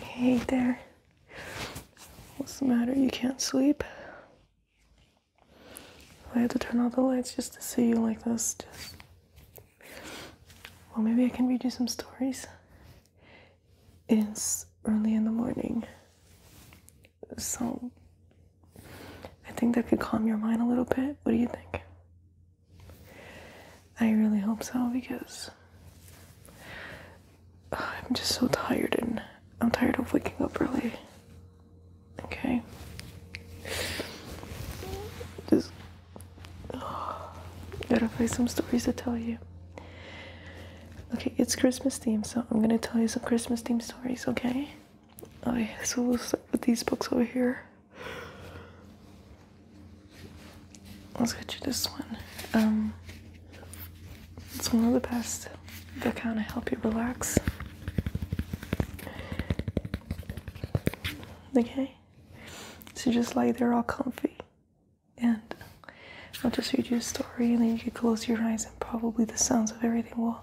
Hey there. What's the matter? You can't sleep? I had to turn off the lights just to see you like this. Well, maybe I can read you some stories. It's early in the morning. So I think that could calm your mind a little bit. What do you think? I really hope so because I'm just so tired and I'm tired of waking up early. Okay. Just gotta find some stories to tell you. Okay, it's Christmas theme, so I'm gonna tell you some Christmas theme stories, okay? Okay, so we'll start with these books over here. Let's get you this one. Um, it's one of the best. they kind of help you relax. Okay? So just lie there all comfy. And I'll just read you a story and then you can close your eyes and probably the sounds of everything will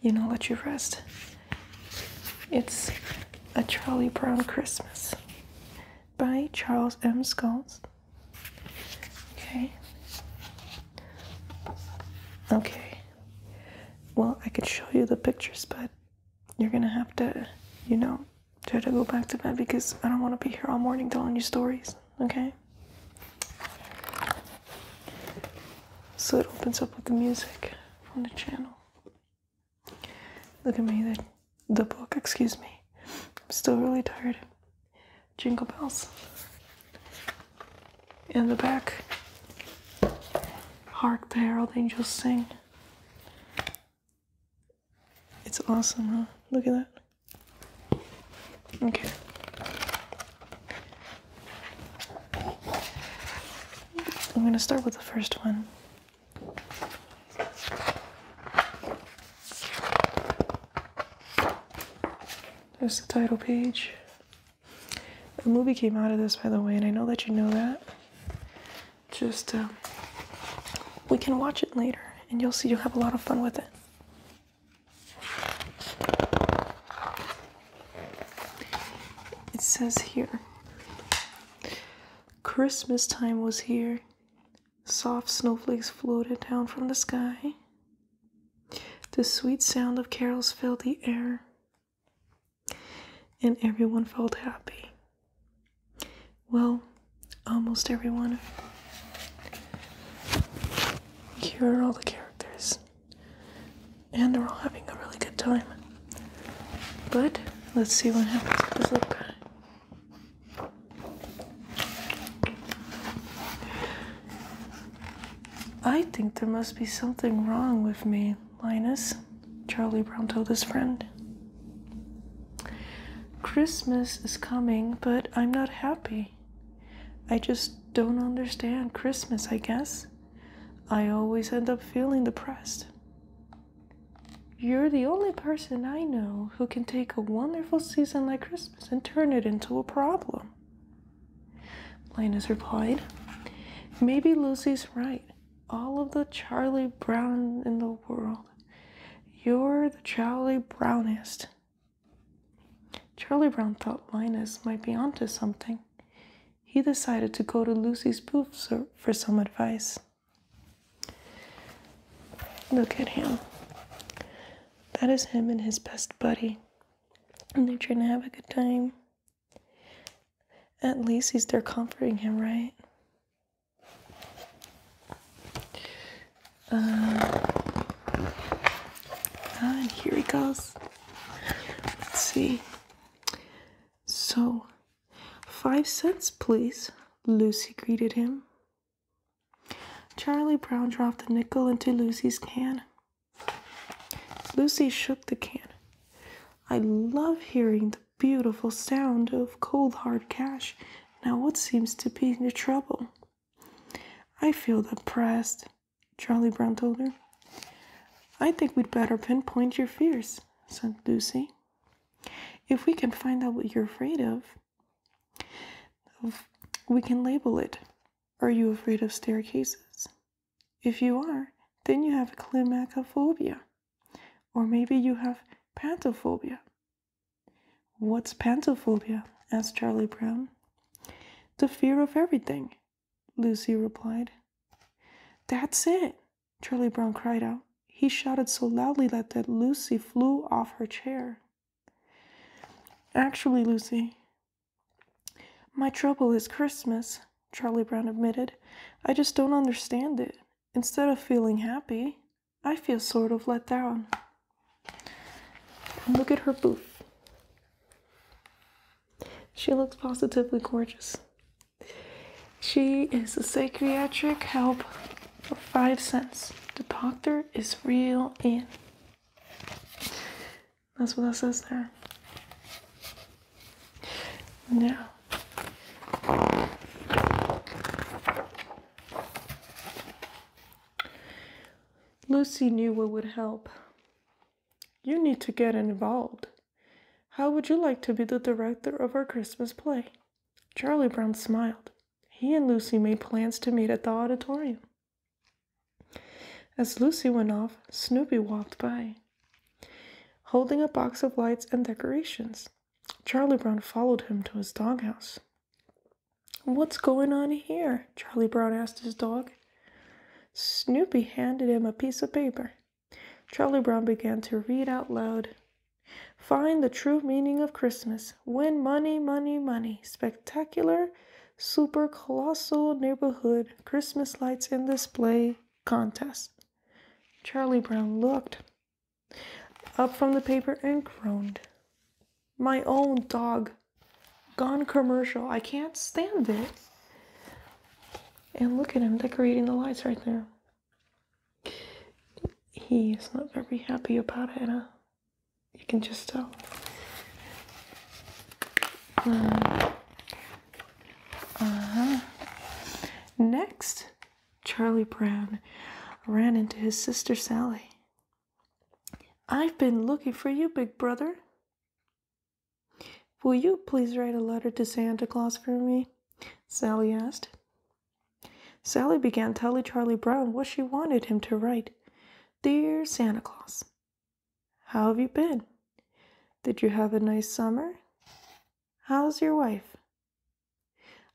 you know, let you rest. It's A Charlie Brown Christmas by Charles M. Scholes. Okay. Okay. Well, I could show you the pictures, but you're gonna have to, you know, try to go back to bed because I don't want to be here all morning telling you stories, okay? So it opens up with the music on the channel. Look at me, the, the book, excuse me. I'm still really tired. Jingle bells. In the back, Hark the Herald Angels Sing. It's awesome, huh? Look at that. Okay. I'm going to start with the first one. There's the title page. The movie came out of this, by the way, and I know that you know that. Just, um, we can watch it later, and you'll see you'll have a lot of fun with it. It says here Christmas time was here. Soft snowflakes floated down from the sky. The sweet sound of carols filled the air, and everyone felt happy. Well, almost everyone. Here are all the characters and we're all having a really good time. But let's see what happens with this guy. I think there must be something wrong with me, Linus, Charlie Brown told his friend. Christmas is coming, but I'm not happy. I just don't understand Christmas, I guess. I always end up feeling depressed. You're the only person I know who can take a wonderful season like Christmas and turn it into a problem. Linus replied. Maybe Lucy's right. All of the Charlie Brown in the world. You're the Charlie Brownest. Charlie Brown thought Linus might be onto something. He decided to go to Lucy's booth for some advice. Look at him. That is him and his best buddy. And they're trying to have a good time. At least he's there comforting him, right? Uh, and ah, here he goes. Let's see. So, five cents, please, Lucy greeted him. Charlie Brown dropped a nickel into Lucy's can. Lucy shook the can. I love hearing the beautiful sound of cold hard cash. Now, what seems to be your trouble? I feel depressed. Charlie Brown told her. I think we'd better pinpoint your fears, said Lucy. If we can find out what you're afraid of, we can label it. Are you afraid of staircases? If you are, then you have climacophobia. Or maybe you have pantophobia. What's pantophobia? asked Charlie Brown. The fear of everything, Lucy replied. That's it, Charlie Brown cried out. He shouted so loudly that, Lucy flew off her chair. Actually, Lucy, my trouble is Christmas, Charlie Brown admitted. I just don't understand it. Instead of feeling happy, I feel sort of let down. look at her booth. She looks positively gorgeous. She is a psychiatric help of five cents. The doctor is real in. That's what that says there. Now, Lucy knew what would help. You need to get involved. How would you like to be the director of our Christmas play? Charlie Brown smiled. He and Lucy made plans to meet at the auditorium. As Lucy went off, Snoopy walked by, holding a box of lights and decorations. Charlie Brown followed him to his doghouse. What's going on here? Charlie Brown asked his dog. Snoopy handed him a piece of paper. Charlie Brown began to read out loud. Find the true meaning of Christmas. Win money, money, money. Spectacular, super colossal neighborhood Christmas lights and display contest. Charlie Brown looked up from the paper and groaned. My own dog, Gone commercial. I can't stand it. And look at him decorating the lights right there. He is not very happy about it. You can just tell. Uh huh. Next, Charlie Brown ran into his sister Sally. I've been looking for you, big brother. Will you please write a letter to Santa Claus for me? Sally asked. Sally began telling Charlie Brown what she wanted him to write. Dear Santa Claus, how have you been? Did you have a nice summer? How's your wife?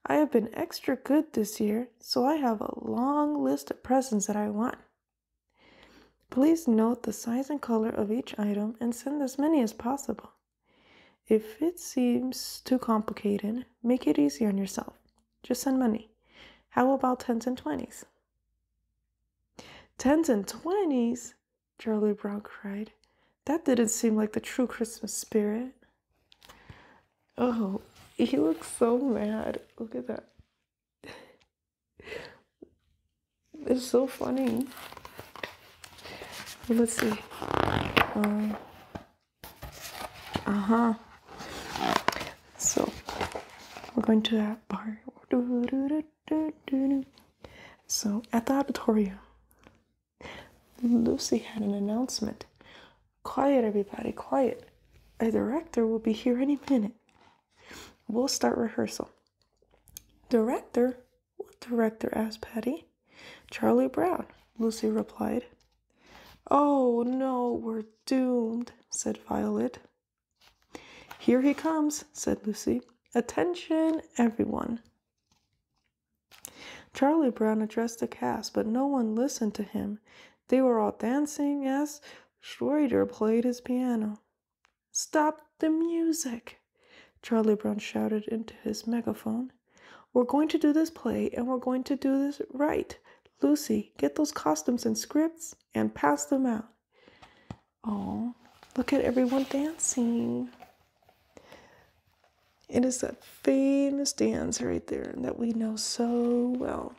I have been extra good this year, so I have a long list of presents that I want, Please note the size and color of each item and send as many as possible. If it seems too complicated, make it easy on yourself. Just send money. How about 10s and 20s? 10s and 20s? Charlie Brown cried. That didn't seem like the true Christmas spirit. Oh, he looks so mad. Look at that. It's so funny. Let's see. uh huh. So we're going to that bar. So at the auditorium, Lucy had an announcement. Quiet, everybody, quiet. Our director will be here any minute. We'll start rehearsal. Director? What director? asked Patty. Charlie Brown, Lucy replied. Oh no, we're doomed, said Violet. Here he comes, said Lucy. Attention, everyone. Charlie Brown addressed the cast, but no one listened to him. They were all dancing Yes. Schroeder played his piano. Stop the music! Charlie Brown shouted into his megaphone. We're going to do this play and we're going to do this right. Lucy, get those costumes and scripts and pass them out. Oh, look at everyone dancing. It is that famous dance right there that we know so well.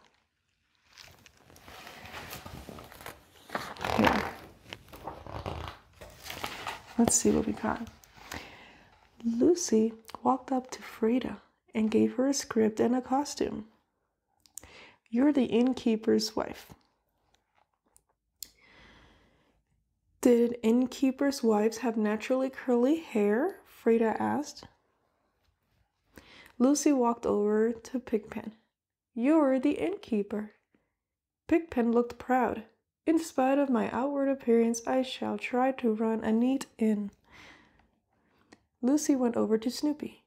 Let's see what we got. Lucy walked up to Frida and gave her a script and a costume. You're the innkeeper's wife. Did innkeepers' wives have naturally curly hair? Frida asked. Lucy walked over to Pigpen. You're the innkeeper. Pigpen looked proud. In spite of my outward appearance, I shall try to run a neat inn. Lucy went over to Snoopy.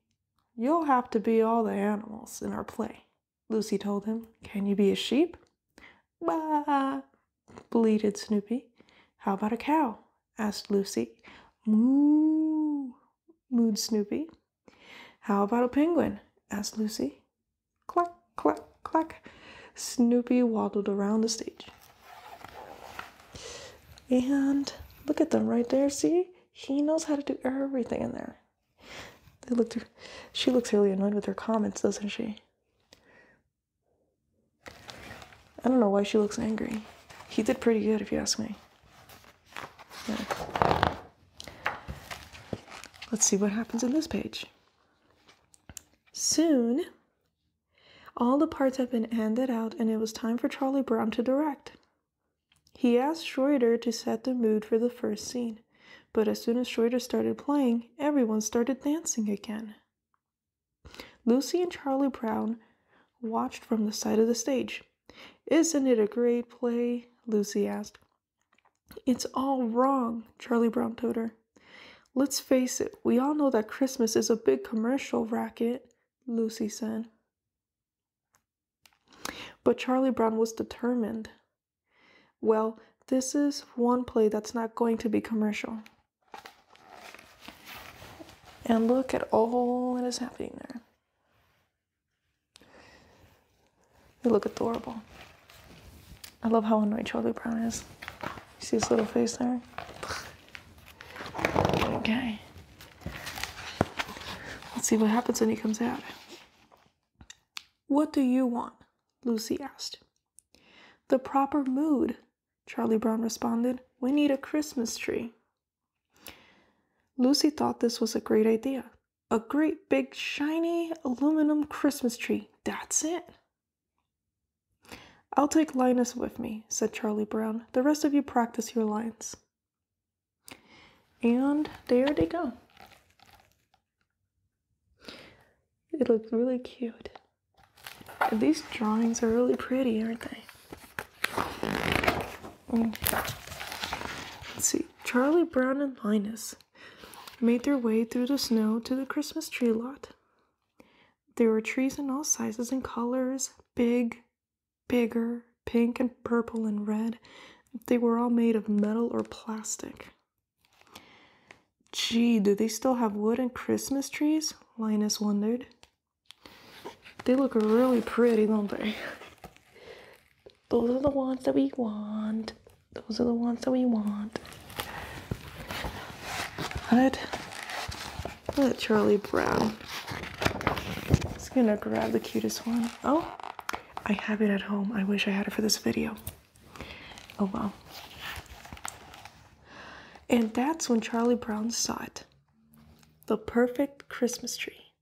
You'll have to be all the animals in our play, Lucy told him. Can you be a sheep? "Baa," bleated Snoopy. How about a cow? asked Lucy. Moo, Mood Snoopy. How about a penguin? asked Lucy. Clack, clack, clack. Snoopy waddled around the stage. And look at them right there, see? He knows how to do everything in there. They looked she looks really annoyed with her comments, doesn't she? I don't know why she looks angry. He did pretty good if you ask me let's see what happens in this page. Soon, all the parts had been handed out, and it was time for Charlie Brown to direct. He asked Schroeder to set the mood for the first scene, but as soon as Schroeder started playing, everyone started dancing again. Lucy and Charlie Brown watched from the side of the stage. Isn't it a great play? Lucy asked. It's all wrong, Charlie Brown told her. Let's face it, we all know that Christmas is a big commercial racket, Lucy said. But Charlie Brown was determined. Well, this is one play that's not going to be commercial. And look at all that is happening there. They look adorable. I love how annoyed Charlie Brown is. You see his little face there? Okay. Let's see what happens when he comes out. What do you want? Lucy asked. The proper mood, Charlie Brown responded. We need a Christmas tree. Lucy thought this was a great idea. A great big shiny aluminum Christmas tree. That's it. I'll take Linus with me, said Charlie Brown. The rest of you practice your lines. And there they go. It looks really cute. These drawings are really pretty, aren't they? Let's see. Charlie Brown and Linus made their way through the snow to the Christmas tree lot. There were trees in all sizes and colors big, bigger, pink, and purple, and red. They were all made of metal or plastic. Gee, do they still have wooden Christmas trees? Linus wondered. They look really pretty, don't they? Those are the ones that we want. Those are the ones that we want. What? Look at Charlie Brown. Just gonna grab the cutest one. Oh, I have it at home. I wish I had it for this video. Oh wow. And that's when Charlie Brown saw it. The perfect Christmas tree.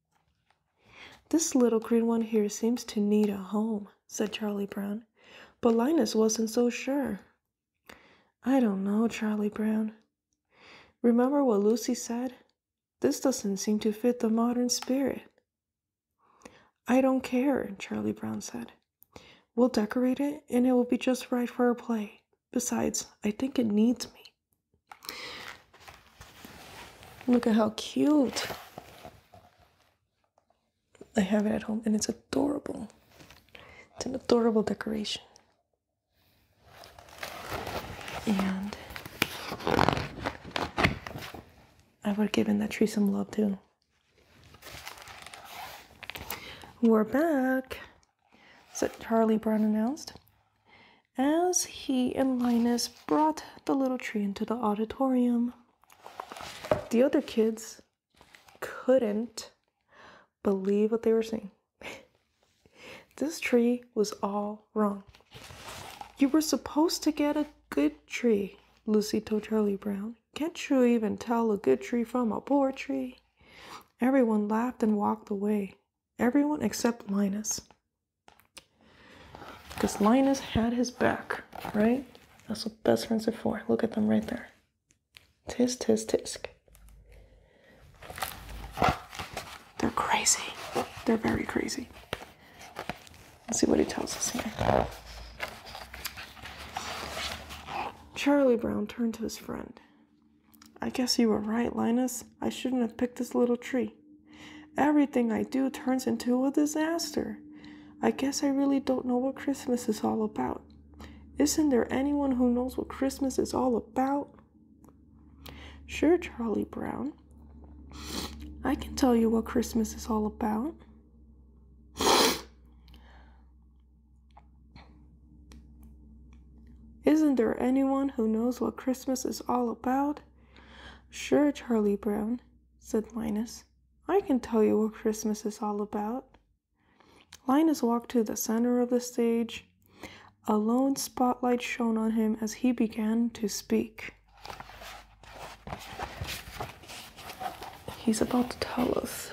This little green one here seems to need a home, said Charlie Brown. But Linus wasn't so sure. I don't know, Charlie Brown. Remember what Lucy said? This doesn't seem to fit the modern spirit. I don't care, Charlie Brown said. We'll decorate it and it will be just right for a play. Besides, I think it needs me. Look at how cute. I have it at home and it's adorable. It's an adorable decoration. And I would have given that tree some love too. We're back so Charlie Brown announced as he and Linus brought the little tree into the auditorium. The other kids couldn't believe what they were seeing. this tree was all wrong. You were supposed to get a good tree, Lucy told Charlie Brown. Can't you even tell a good tree from a poor tree? Everyone laughed and walked away. Everyone except Linus. Because Linus had his back, right? That's what best friends are for. Look at them right there. Tisk, tisk, tisk. They're crazy. They're very crazy. Let's see what he tells us here. Charlie Brown turned to his friend. I guess you were right, Linus. I shouldn't have picked this little tree. Everything I do turns into a disaster. I guess I really don't know what Christmas is all about. Isn't there anyone who knows what Christmas is all about? Sure, Charlie Brown. I can tell you what Christmas is all about. Isn't there anyone who knows what Christmas is all about? Sure, Charlie Brown, said Linus. I can tell you what Christmas is all about. Linus walked to the center of the stage. A lone spotlight shone on him as he began to speak. He's about to tell us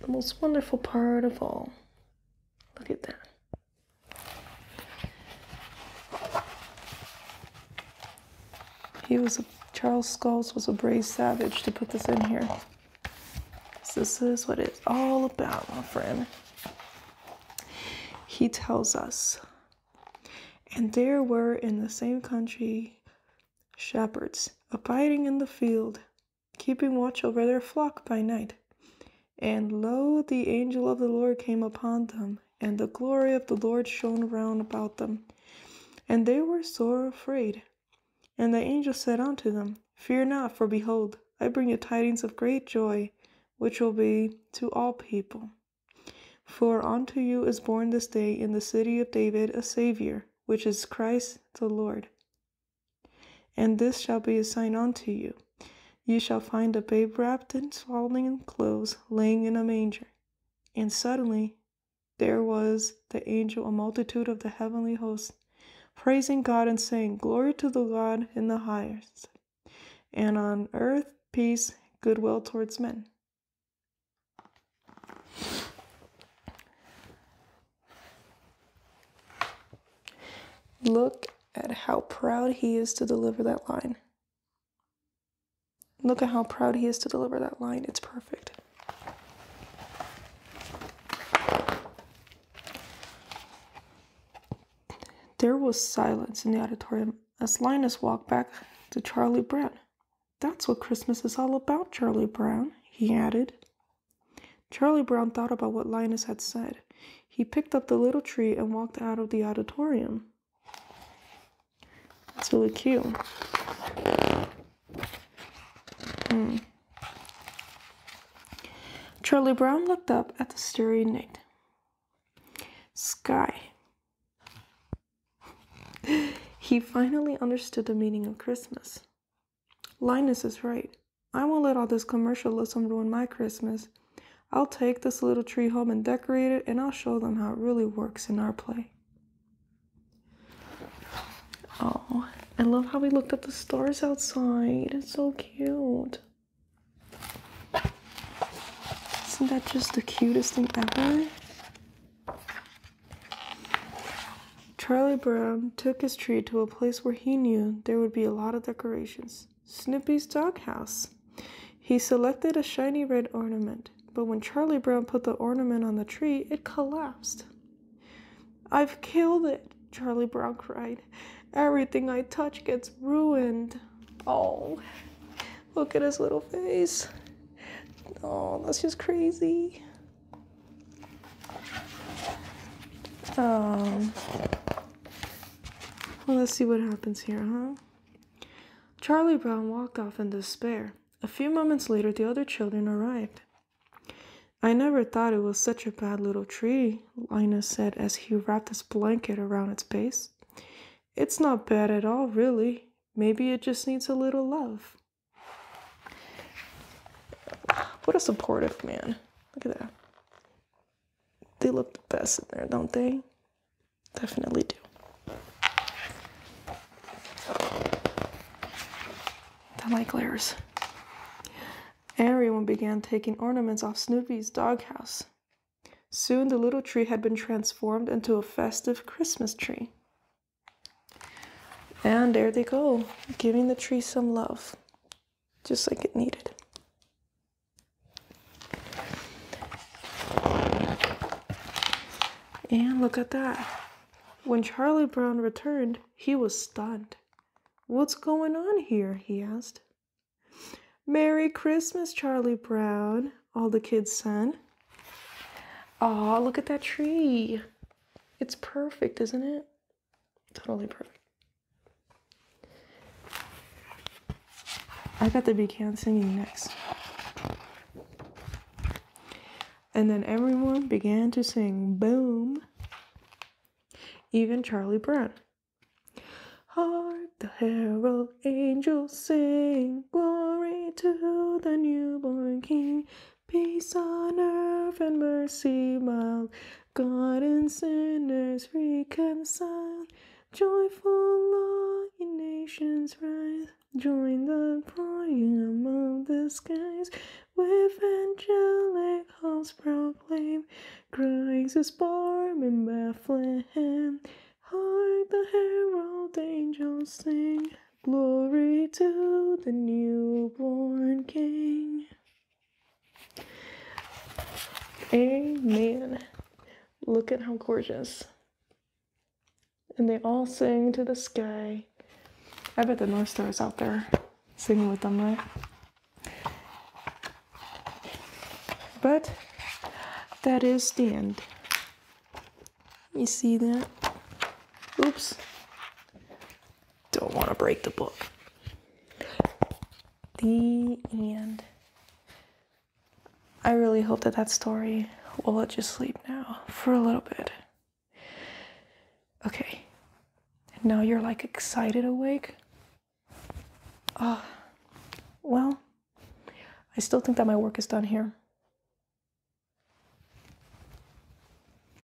the most wonderful part of all Look at that. He was a, Charles Scholes was a brave savage to put this in here. This is what it's all about, my friend. He tells us, and there were in the same country shepherds abiding in the field keeping watch over their flock by night. And lo, the angel of the Lord came upon them, and the glory of the Lord shone round about them. And they were sore afraid. And the angel said unto them, Fear not, for behold, I bring you tidings of great joy, which will be to all people. For unto you is born this day in the city of David a Saviour, which is Christ the Lord. And this shall be a sign unto you you shall find a babe wrapped in swaddling clothes, lying in a manger. And suddenly there was the angel, a multitude of the heavenly host, praising God and saying, Glory to the God in the highest, and on earth peace, goodwill towards men. Look at how proud he is to deliver that line. Look at how proud he is to deliver that line. It's perfect. There was silence in the auditorium as Linus walked back to Charlie Brown. That's what Christmas is all about, Charlie Brown, he added. Charlie Brown thought about what Linus had said. He picked up the little tree and walked out of the auditorium. That's really cute. Hmm. Charlie Brown looked up at the starry night sky. he finally understood the meaning of Christmas. Linus is right. I won't let all this commercialism ruin my Christmas. I'll take this little tree home and decorate it, and I'll show them how it really works in our play. Oh, I love how we looked at the stars outside. It's so cute. Isn't that just the cutest thing ever? Charlie Brown took his tree to a place where he knew there would be a lot of decorations Snoopy's doghouse. He selected a shiny red ornament, but when Charlie Brown put the ornament on the tree, it collapsed. I've killed it, Charlie Brown cried. Everything I touch gets ruined. Oh, look at his little face. Oh, that's just crazy. Um, well, let's see what happens here, huh? Charlie Brown walked off in despair. A few moments later, the other children arrived. I never thought it was such a bad little tree, Linus said as he wrapped his blanket around its base. It's not bad at all, really. Maybe it just needs a little love. What a supportive man. Look at that. They look the best in there, don't they? Definitely do. I like glares. Everyone began taking ornaments off Snoopy's doghouse. Soon the little tree had been transformed into a festive Christmas tree. And there they go, giving the tree some love just like it needed. And look at that. When Charlie Brown returned, he was stunned. What's going on here? he asked. Merry Christmas, Charlie Brown, all the kids said. Aw, look at that tree. It's perfect, isn't it? Totally perfect. I got the Buchanan singing next. And then everyone began to sing, boom. Even Charlie Brown. Hark the herald angels sing, glory to the newborn king. Peace on earth and mercy mild, God and sinners reconciled. Joyful law in nations rise, join the crying among the skies. With angelic halls proclaim, Christ is born in Bethlehem. Hark the herald angels sing, glory to the newborn King. Amen. Look at how gorgeous. And they all sing to the sky. I bet the North Star is out there singing with them, right? But that is the end. You see that? Oops. Don't want to break the book. The end. I really hope that that story will let you sleep now for a little bit. Okay. Now you're like excited awake. Ah. well, I still think that my work is done here.